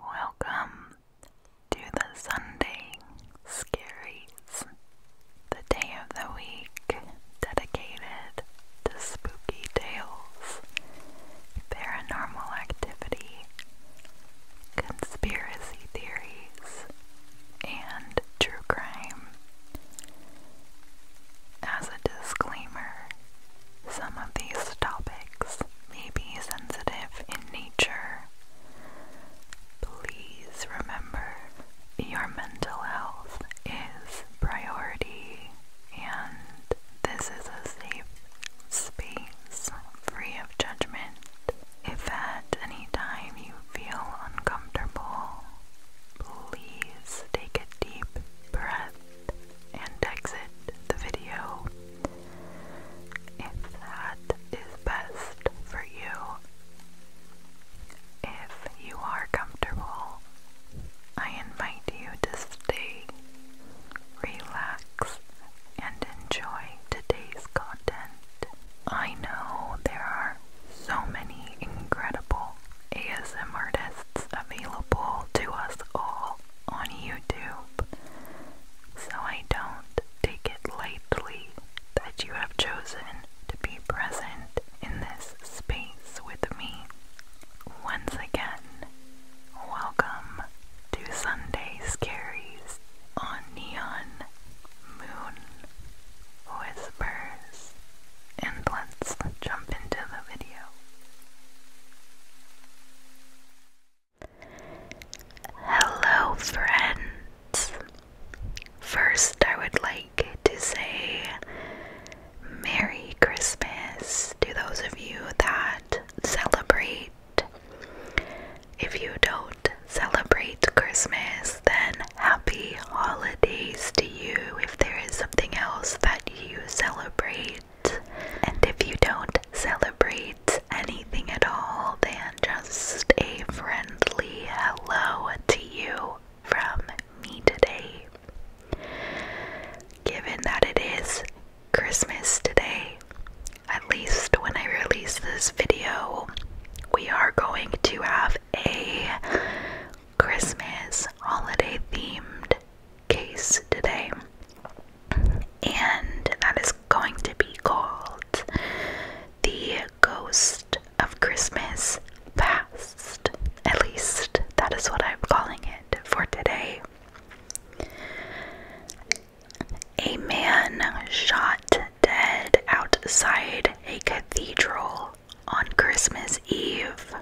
Welcome to the Sunday Scaries, the day of the week dedicated to spooky tales, paranormal activity, conspiracy theories, and true crime. As a disclaimer, some of these topics may be sensitive in nature. Please remember your mental health is priority and this is a safe space free of judgment. If at any time you feel uncomfortable, please take a deep breath and exit the video if that is best for you. If you are comfortable, I invite you to stay, relax, and enjoy today's content. I know there are so many incredible ASM artists available to us all, on YouTube, so I don't take it lightly that you have chosen to be present in this space with me. Once again, welcome to Sunday Scaries on Neon Moon Whispers, and let's jump into the video. Hello, friends. First, I would like to say Merry Christmas to those of you that celebrate. If you don't celebrate Christmas, then happy holidays to you if there is something else that you celebrate. And if you don't celebrate anything at all, then just a friendly hello to you from me today. Given that it is Christmas today, at least when I release this video, we are going to have a Christmas holiday themed case today, and that is going to be called The Ghost of Christmas Past. At least that is what I'm calling it for today. A man shot dead outside a cathedral on Christmas Eve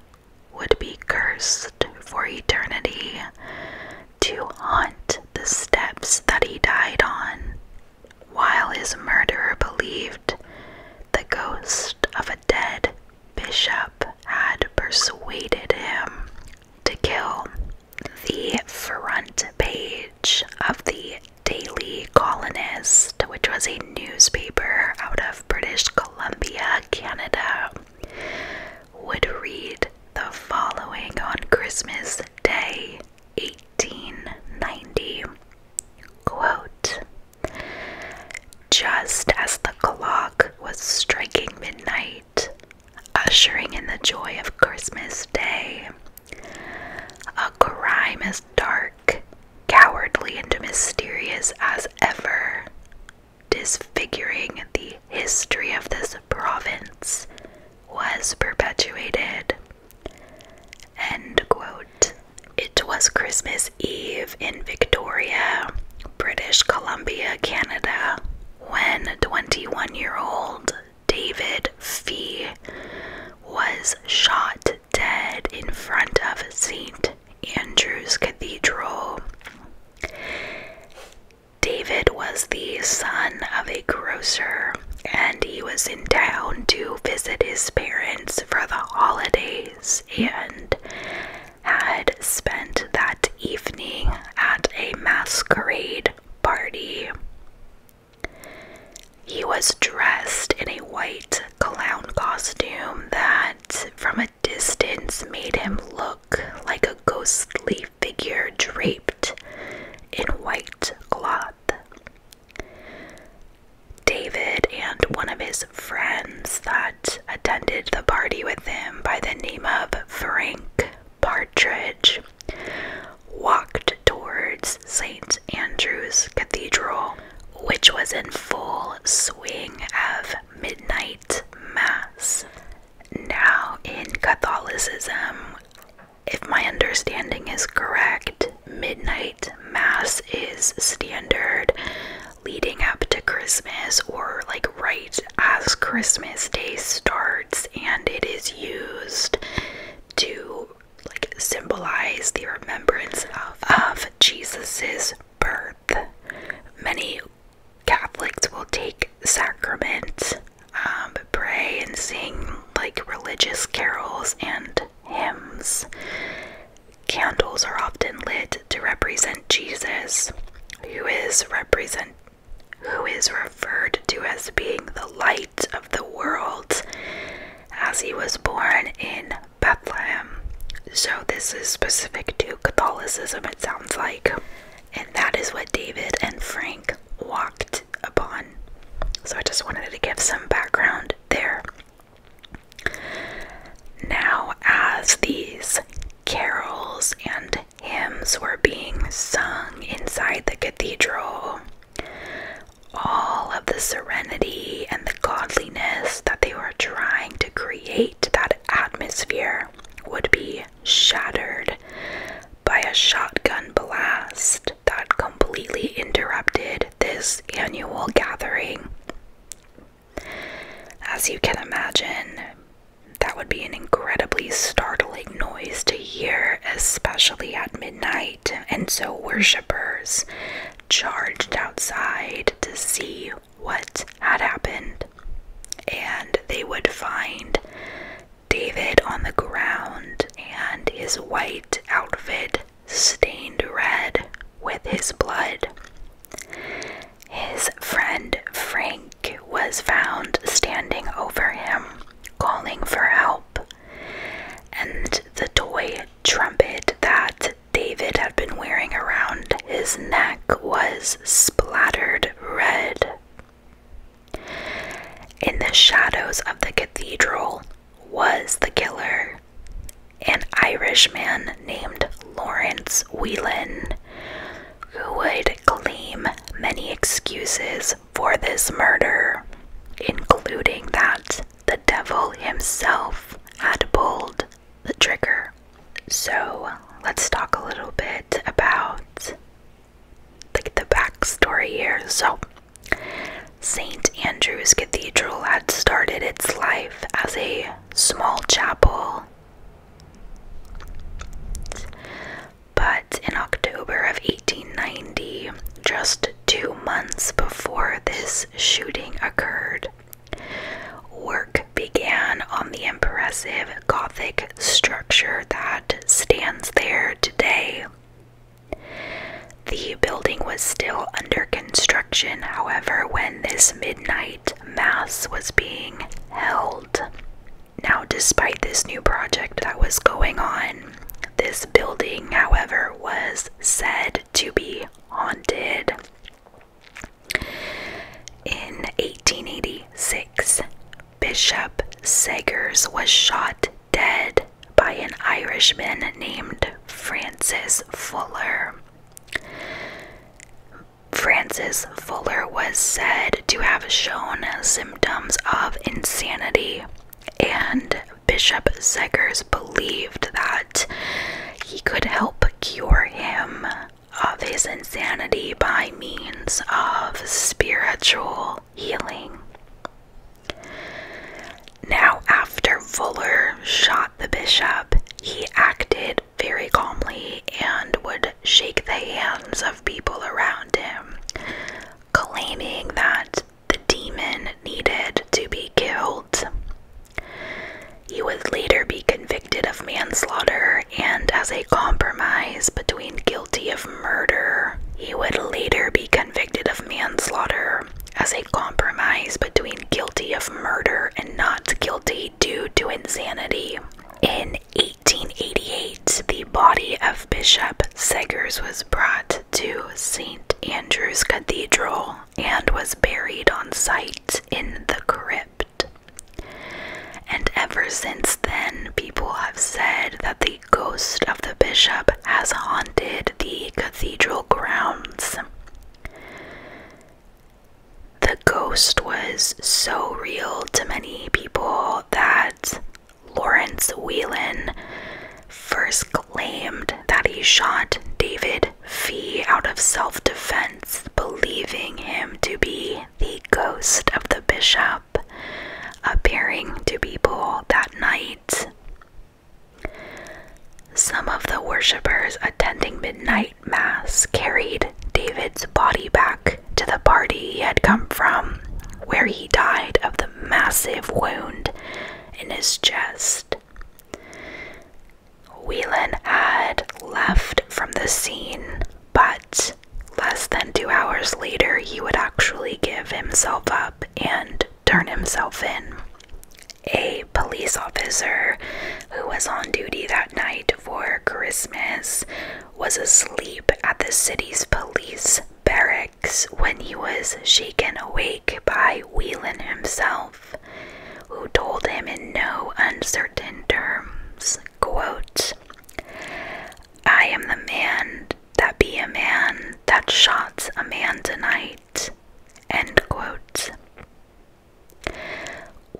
would be cursed for eternity to haunt the steps that he died on, while his murderer believed the ghost of a dead bishop had persuaded him to kill. The front page of the Daily Colonist, which was a newspaper out of British Columbia, Canada, would read the following on Christmas Day 1890 Quote, Just as the clock was striking midnight, ushering in the joy of Christmas Day, a crime as dark, cowardly, and mysterious as ever disfiguring the history of this province was perpetuated. End quote. It was Christmas Eve in Victoria, British Columbia, Canada, when 21 year old David Fee was shot dead in front of St. Andrew's Cathedral. David was the son of a grocer, and he was in town to visit his parents for the holidays and had spent that evening at a masquerade party. He was dressed in a white clown costume that, from a distance made him look like a ghostly figure draped in white cloth. David and one of his friends that attended the party with him by the name of Frank Partridge walked towards St. Andrew's Cathedral, which was in full swing of midnight mass. Now, in Catholicism, if my understanding is correct, midnight mass is standard leading up to Christmas or like right as Christmas Day starts, and it is used to like symbolize the remembrance of, of Jesus's birth. Many Catholics will take sacrament, um, pray, and sing like religious carols and hymns. Candles are often lit to represent Jesus, who is represent who is referred to as being the light of the world, as he was born in Bethlehem. So, this is specific to Catholicism, it sounds like. And that is what David and Frank walked upon. So, I just wanted to give some background there. Now, as these carols and hymns were being sung inside the cathedral, all of the serenity and the godliness that they were trying to create that atmosphere would be shattered by a shotgun blast that completely interrupted this annual gathering. As you can imagine, that would be an incredibly startling noise to hear, especially at midnight. And so, worshippers charged outside to see what had happened, and they would find David on the ground and his white outfit stained red with his blood. His friend Frank was found standing over him, calling for help, and the toy trumpet that David had been wearing around his neck was splattered red. In the shadows of the cathedral was the killer, an Irishman named Lawrence Whelan, who would claim many excuses for this murder, including that the devil himself had pulled the trigger. So let's talk a little bit about like the, the backstory here. So St. Andrew's Cathedral had started its life as a small chapel. But in October of 1890, just two months before this shooting occurred, Work began on the impressive Gothic structure that stands there today. The building was still under construction, however, when this midnight mass was being held. Now, despite this new project that was going on, this building, however, was said to be haunted. In 1886, Bishop Segers was shot dead by an Irishman named Francis Fuller. Francis Fuller was said to have shown symptoms of insanity and Bishop Zegers believed that he could help cure him of his insanity by means of spiritual healing. Now, after Fuller shot the bishop, he acted very calmly and would shake the hands of people around him, claiming that the demon needed to be killed. He would later be convicted of manslaughter, and as a compromise between guilty of murder, he would later be convicted of manslaughter as a compromise between guilty of murder and not guilty due to insanity. In 1888, the body of Bishop Segers was brought to St. Andrew's Cathedral and was buried on site in the crypt. And ever since then, people have said that the ghost of the bishop has haunted the cathedral grounds. The ghost was so real to many people that Lawrence Whelan first claimed that he shot David Fee, out of self defense, believing him to be the ghost of the bishop, appearing to people that night. Some of the worshippers attending midnight mass carried David's body back to the party he had come from, where he died of the massive wound in his chest. Whelan had left from the scene, but less than two hours later, he would actually give himself up and turn himself in. A police officer who was on duty that night for Christmas was asleep at the city's police barracks when he was shaken awake by Wheelan himself, who told him in no uncertain terms, quote, I am the man that be a man that shot a man tonight, end quote.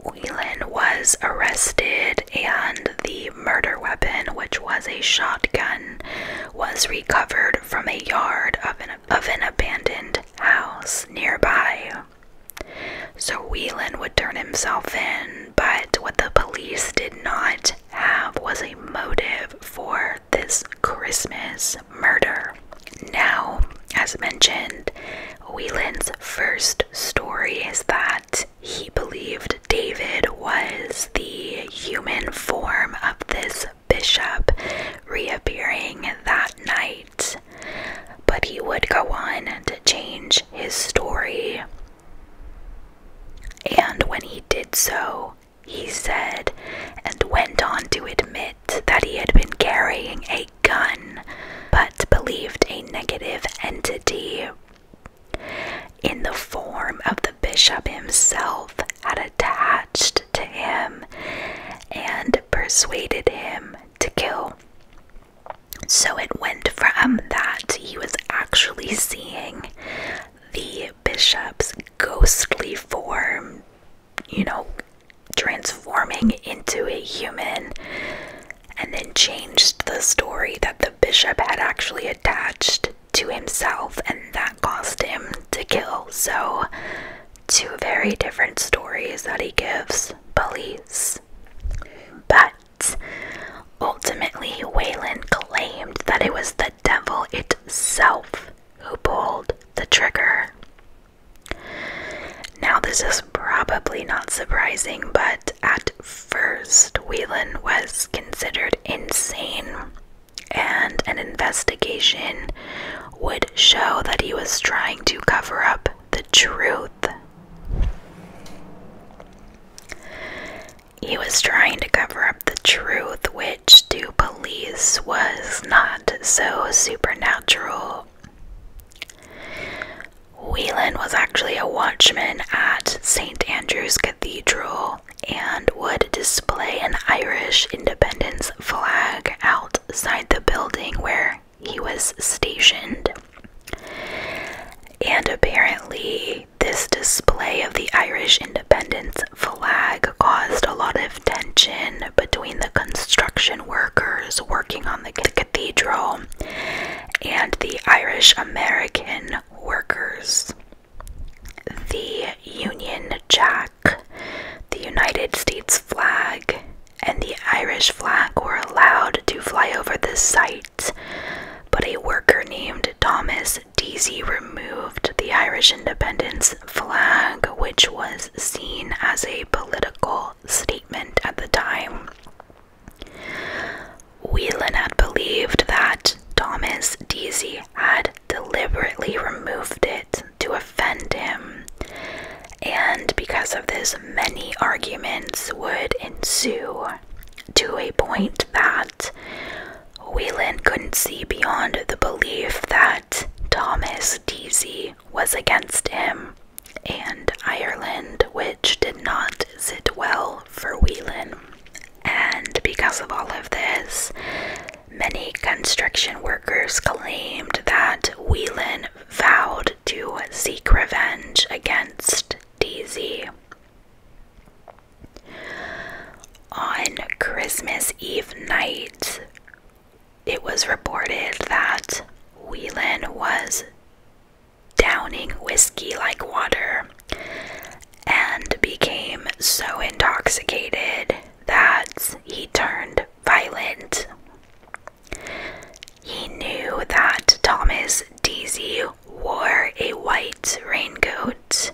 Whelan was arrested and the murder weapon, which was a shotgun, was recovered from a yard of an, of an abandoned house nearby. So Whelan would turn himself in, but what the police did not have was a motive for this Christmas murder. Now, as mentioned, Whelan's first story is that he believed David was the human form of this bishop reappearing that night, but he would go on to change his story. And when he did so, he said, and went on to admit that he had been carrying a gun, but believed a negative entity in the form of the bishop himself had attached to him and persuaded him to kill. So it went from that he was actually seeing the bishop's ghostly form, you know, transforming into a human, and then changed the story that the bishop had actually attached to himself, and that caused him to kill. So, two very different stories that he gives police. But ultimately, Wayland claimed that it was the devil itself who pulled the trigger. Now, this is probably not surprising, but at first, Whelan was considered insane and an investigation would show that he was trying to cover up the truth. He was trying to cover up the truth, which to police was not so supernatural. Whelan was actually a watchman at St. Andrew's Cathedral and would display an Irish independence flag outside the building where he was stationed. And apparently, this display of the Irish independence flag caused a lot of tension between the construction workers working on the cathedral and the Irish American workers the Union Jack, the United States flag, and the Irish flag were allowed to fly over the site, but a worker named Thomas Deasy removed the Irish independence flag, which was seen as a political statement at the time. Whelan had believed that Thomas Deasy had deliberately removed it to offend him, and because of this, many arguments would ensue to a point that Wayland couldn't see beyond the belief that Thomas Deasy was against him and Ireland, which did not sit well for Whelan. And because of all of this, Many construction workers claimed that Whelan vowed to seek revenge against Daisy. On Christmas Eve night, it was reported that Whelan was downing whiskey like water and became so intoxicated that he turned violent. He knew that Thomas Deasy wore a white raincoat,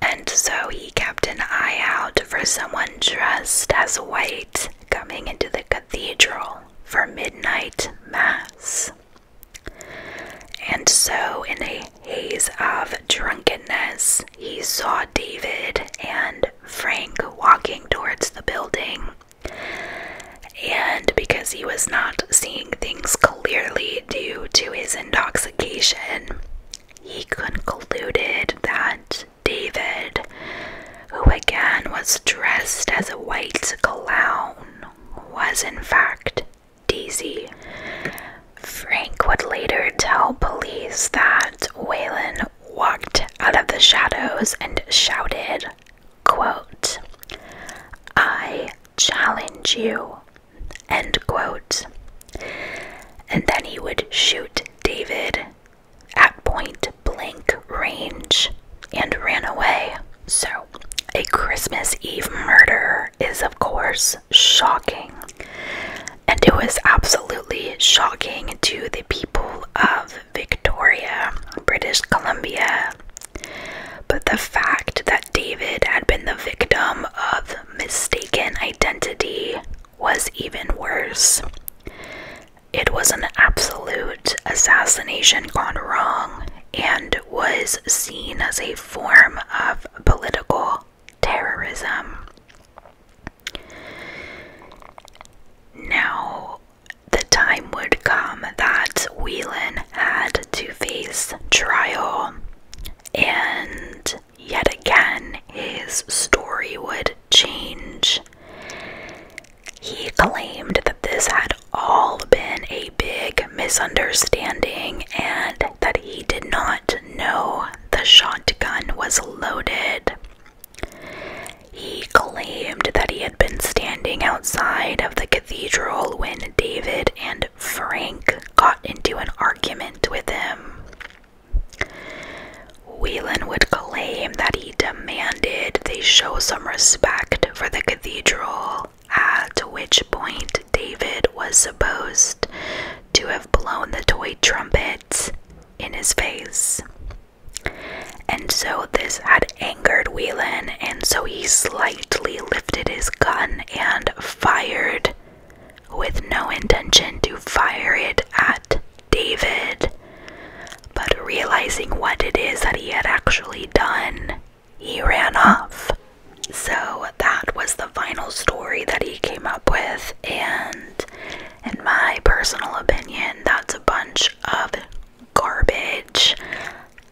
and so he kept an eye out for someone dressed as white coming into the cathedral for midnight mass. And so, in a haze of drunkenness, he saw David and Frank walking towards the building. And because he was not seeing things clearly due to his intoxication, he concluded that David, who again was dressed as a white clown, was in fact Daisy. Frank would later tell police that Waylon walked out of the shadows and shouted, quote, I challenge you, end quote. And then he would shoot David at point blank range and ran away. So, a Christmas Eve murder is, of course, shocking and it was absolutely shocking to the people of Victoria, British Columbia. But the fact that David had been the victim of mistaken identity was even worse. It was an absolute assassination gone wrong and was seen as a form of political terrorism. Now, the time would come that Whelan had to face trial, and yet again his story would change. He claimed that this had all been a big misunderstanding and that he did not know the shotgun was loaded. He claimed that he had been standing outside of the cathedral when David and Frank got into an argument with him. Whelan would claim that he demanded they show some respect for the cathedral bell, at which point David was supposed to have blown the toy trumpet in his face. And so this had angered Whelan, and so he slightly lifted his gun and fired with no intention to fire it at David. But realizing what it is that he had actually done, he ran off. So that was the final story that he came up with, and in my personal opinion, that's a bunch of garbage.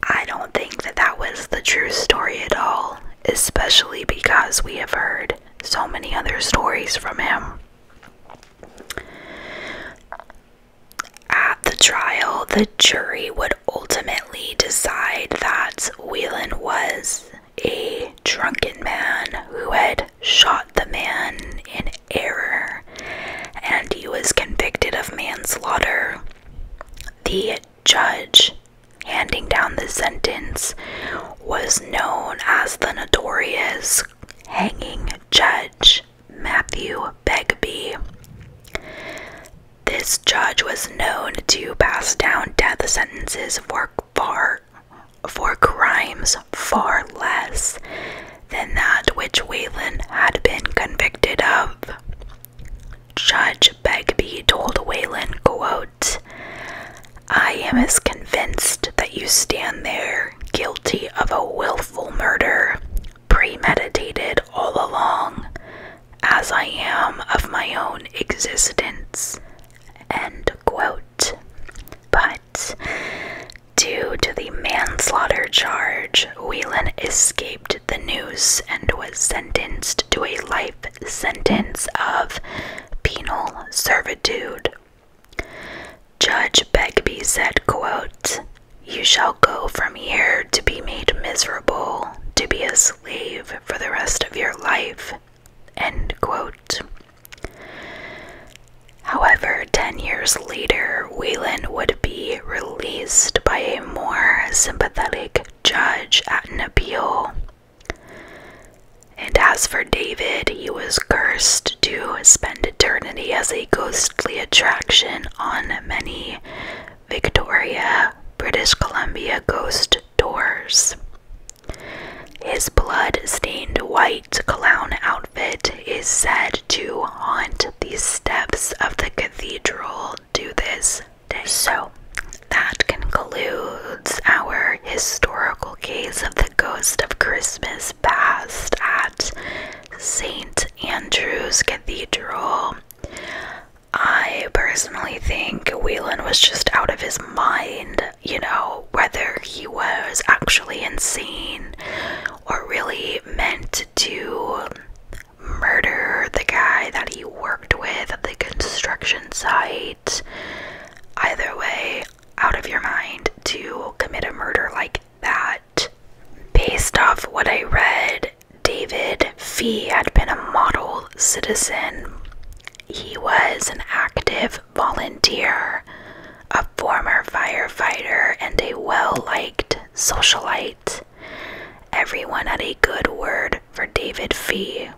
I don't think that that was the true story at all, especially because we have heard so many other stories from him. At the trial, the jury would ultimately decide that Whelan was a drunken man who had shot the man in error and he was convicted of manslaughter. The judge handing down the sentence was known as the notorious hanging judge Matthew Begbie. This judge was known to pass down death sentences for far for crimes far less than that which Wayland had been convicted of. Judge Begbie told Wayland, quote, I am as convinced that you stand there guilty of a willful murder, premeditated all along, as I am of my own existence. End quote. But due to the manslaughter charge, Whelan escaped the noose and was sentenced to a life sentence of penal servitude. Judge Begbie said, quote, You shall go from here to be made miserable, to be a slave for the rest of your life. End quote. However, 10 years later, Whelan would be released by a more sympathetic judge at an appeal. And as for David, he was cursed to spend eternity as a ghostly attraction on many Victoria, British Columbia ghost doors. His blood stained white clown outfit is said to haunt the steps of the cathedral to this day. So, that concludes our historical case of the ghost of Christmas past at St. Andrew's Cathedral. I personally think Whelan was just out of his mind, you know, whether he was actually insane or really meant to murder the guy that he worked with at the construction site. Either way, out of your mind to commit a murder like that. Based off what I read, David Fee had been a model citizen. He was an active volunteer, a former firefighter, and a well liked socialite. Everyone had a good word for David Fee.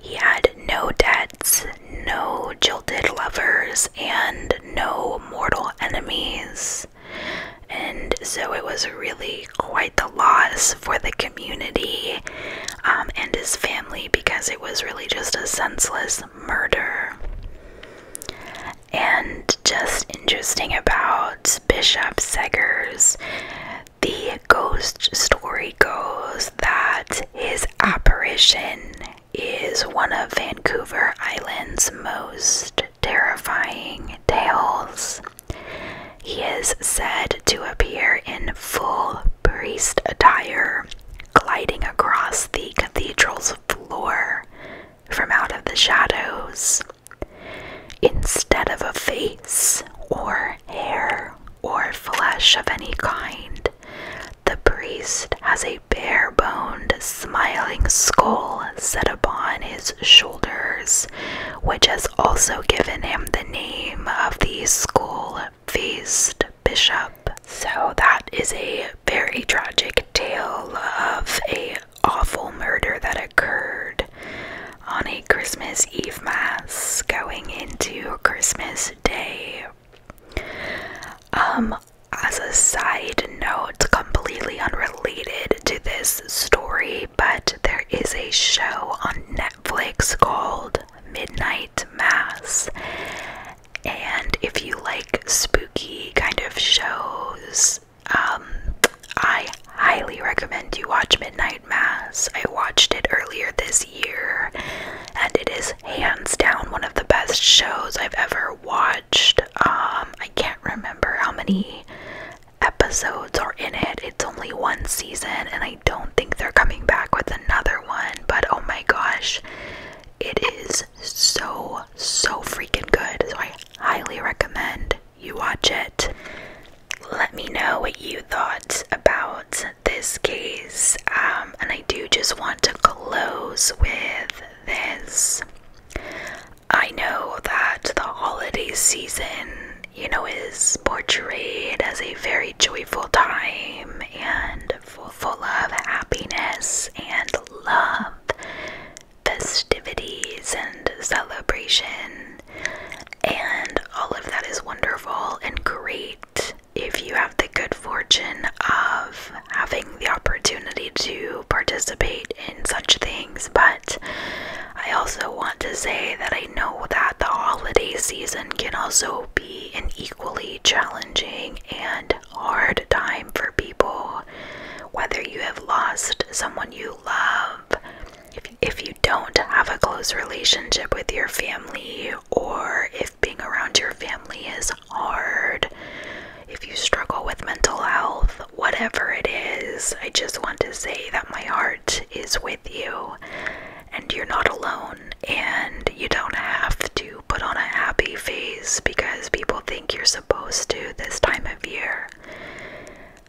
He had no debts, no jilted lovers, and no mortal enemies. And so it was really quite the loss for the community um, and his family because it was really just a senseless murder. And just interesting about Bishop Segers, the ghost story goes that his apparition is one of Vancouver Island's most terrifying tales. He is said to appear in full priest attire, gliding across the cathedral's floor from out of the shadows. Instead of a face or hair or flesh of any kind, the priest has a bare boned, smiling skull set upon his shoulders, which has also given him the name of the school faced bishop. So, that is a very tragic tale of a awful murder that occurred on a Christmas Eve mass going into Christmas Day. Um, as a side note, it's completely unrelated to this story, but there is a show on Netflix called Midnight Mass. And if you like spooky kind of shows, um, I highly recommend you watch Midnight Mass. I watched it earlier this year, and it is hands down one of the best shows I've ever watched. Um, I can't remember how many episodes are in it. It's only one season, and I don't think they're coming back with another one. But oh my gosh, it is so, so freaking good. So I highly recommend you watch it. Let me know what you thought about this case. Um, and I do just want to close with this. I know that the holiday season, you know, is portrayed as a very joyful time and full, full of happiness and love, festivities, and celebration. And all of that is wonderful and great if you have the good fortune of having the opportunity to participate in such things, but I also want to say that I know that the holiday season can also be an equally challenging and hard time for people. Whether you have lost someone you love, if, if you don't have a close relationship with your family, or if being around your family is hard, if you struggle with mental health, whatever it is, I just want to say that my heart is with you and you're not alone. And you don't have to put on a happy face because people think you're supposed to this time of year.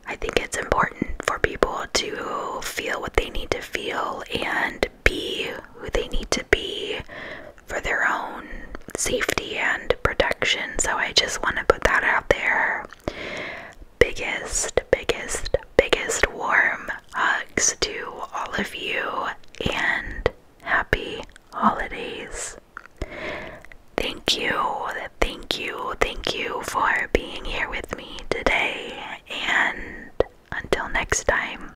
I think it's important for people to feel what they need to feel and be who they need to be for their own safety and protection. So I just want to put that out there. Biggest, biggest, biggest warm hugs to all of you and happy holidays. Thank you, thank you, thank you for being here with me today. And until next time.